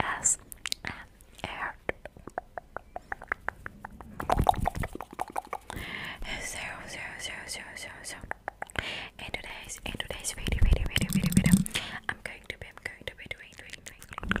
ASMR. So, so, so, so, so, so. In today's, in today's video, video, video, video, video, I'm going to be, I'm going to be doing, doing, doing. doing.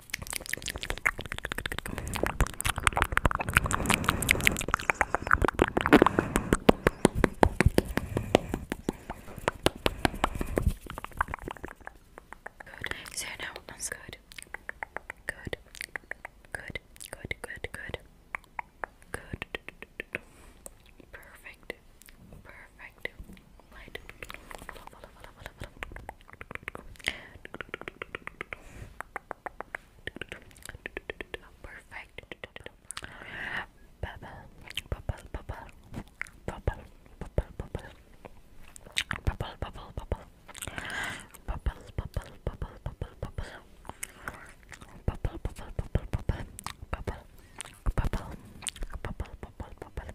So now that's good. Good. Good. Good. Good. Good. Good. Perfect. Perfect light. Follow, follow, follow, follow, follow. Perfect. Bubble, bubble, bubble, bubble, bubble, bubble. Bubble, bubble, bubble. Bubble, bubble, bubble, bubble, bubble. Bubble, bubble, bubble, bubble, bubble. Bubble, bubble, bubble, bubble,